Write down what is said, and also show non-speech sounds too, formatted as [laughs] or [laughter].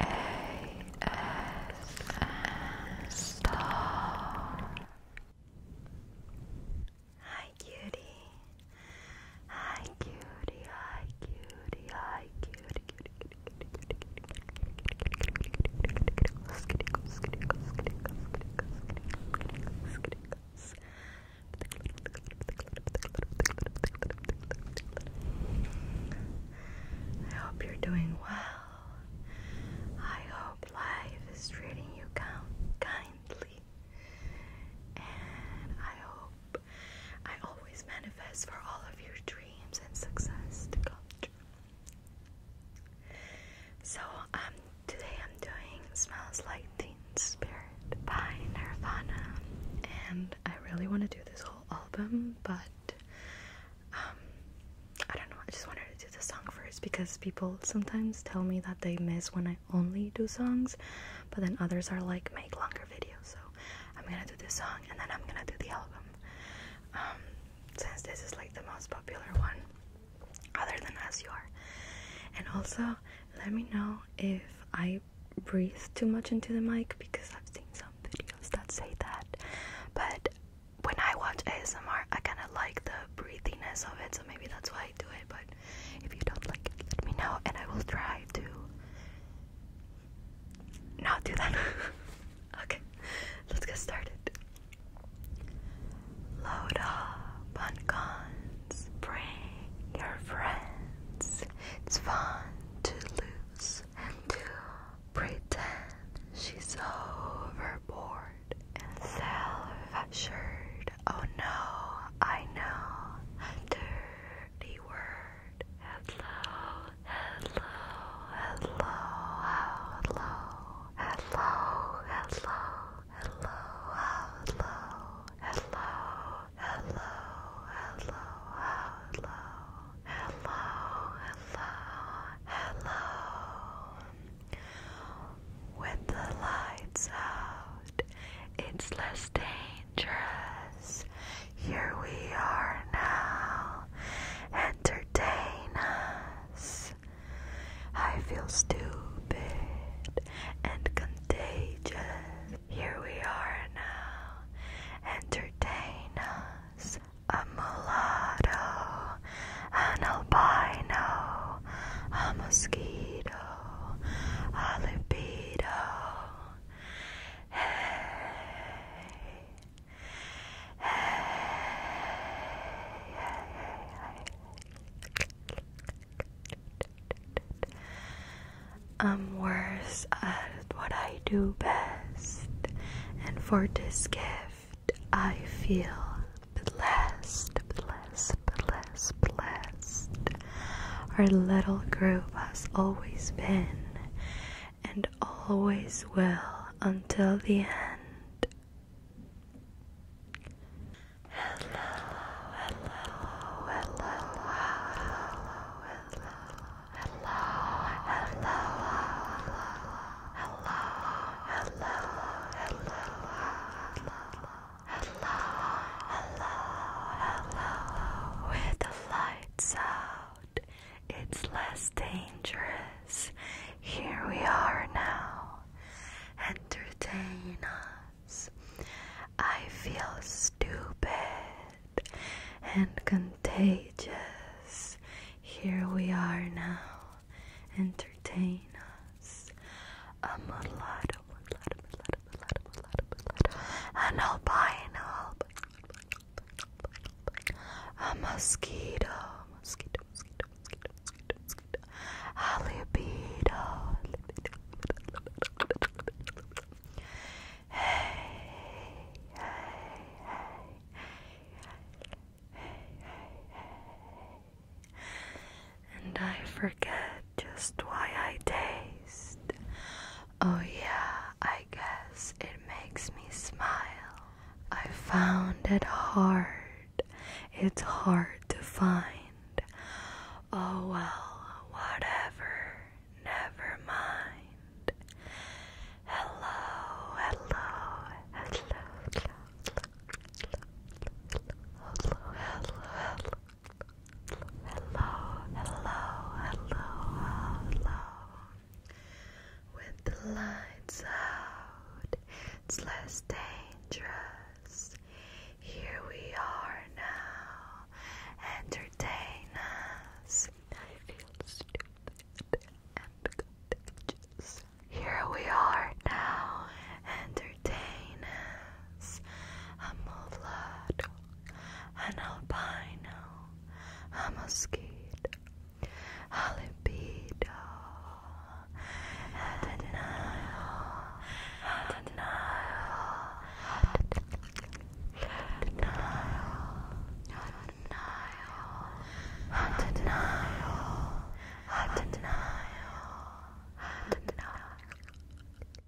Hi cutie. Hi cutie. Hi cutie. Hi cutie. cutie, cutie, cutie, I hope you're doing well. I hope life is treating you kindly. And I hope I always manifest for all of your dreams and success to come true. So, um, today I'm doing Smells Like Teen Spirit by Nirvana, and I really want to do this whole album, but um, I don't know. I just wanted to do the song first because people sometimes tell me that they miss when I only do songs, but then others are like, make longer videos. So I'm gonna do the song and then I'm gonna do the album. Um, since this is like the most popular one, other than As You Are. And also, let me know if I breathe too much into the mic because I've seen some videos that say that. But when I watch ASMR, I kind of like the breathiness of it, so maybe that's why I do it. But if you don't like it, let me know, and I will try to not do that. [laughs] okay, let's get started. Load up friends. Bring your friends. It's fun to lose and to pretend she's overboard and self-assured. Oh no, I know a dirty word. Hello, hello, hello, hello, hello, hello hello, hello, hello, hello, hello, hello, hello, hello, hello. With the lights out, it's less dangerous. Here we are now. Entertain us. I feel stupid and contagious. Here we are now. Entertain us. A mulatto, an albino, a mosquito, a libido. Hey. Hey, I'm worse at what I do best, and for this gift I feel blessed, blessed, blessed, blessed. Our little group has always been and always will until the end hello, hello, hello, hello, hello, hello, hello, hello, hello, hello, hello, hello, where the lights are out. It's less dangerous. Here we are now. Entertain us. I feel stupid and contagious. Here we are now. Entertain us. A mulatto, mulatto, mulatto, mulatto, mulatto, mulatto. An albino, albino, a mosquito, mosquito, mosquito, mosquito, mosquito, mosquito. A Hey, hey, hey, hey, hey, hey. And I forget just why I taste Oh, yeah, I guess it makes me smile. I found it hard, it's hard to find. Oh, well, whatever, never mind. Hello, hello, hello, hello, hello, hello, hello, hello. Hello, hello, hello, hello. With the lights out, it's less dangerous. Here we are now. Entertain us. I feel stupid and contagious. Here we are now. Entertain us. I'm a lot an albino, a mosquito, a libido, a denial, a denial, a denial, a denial, a denial, a denial, a denial.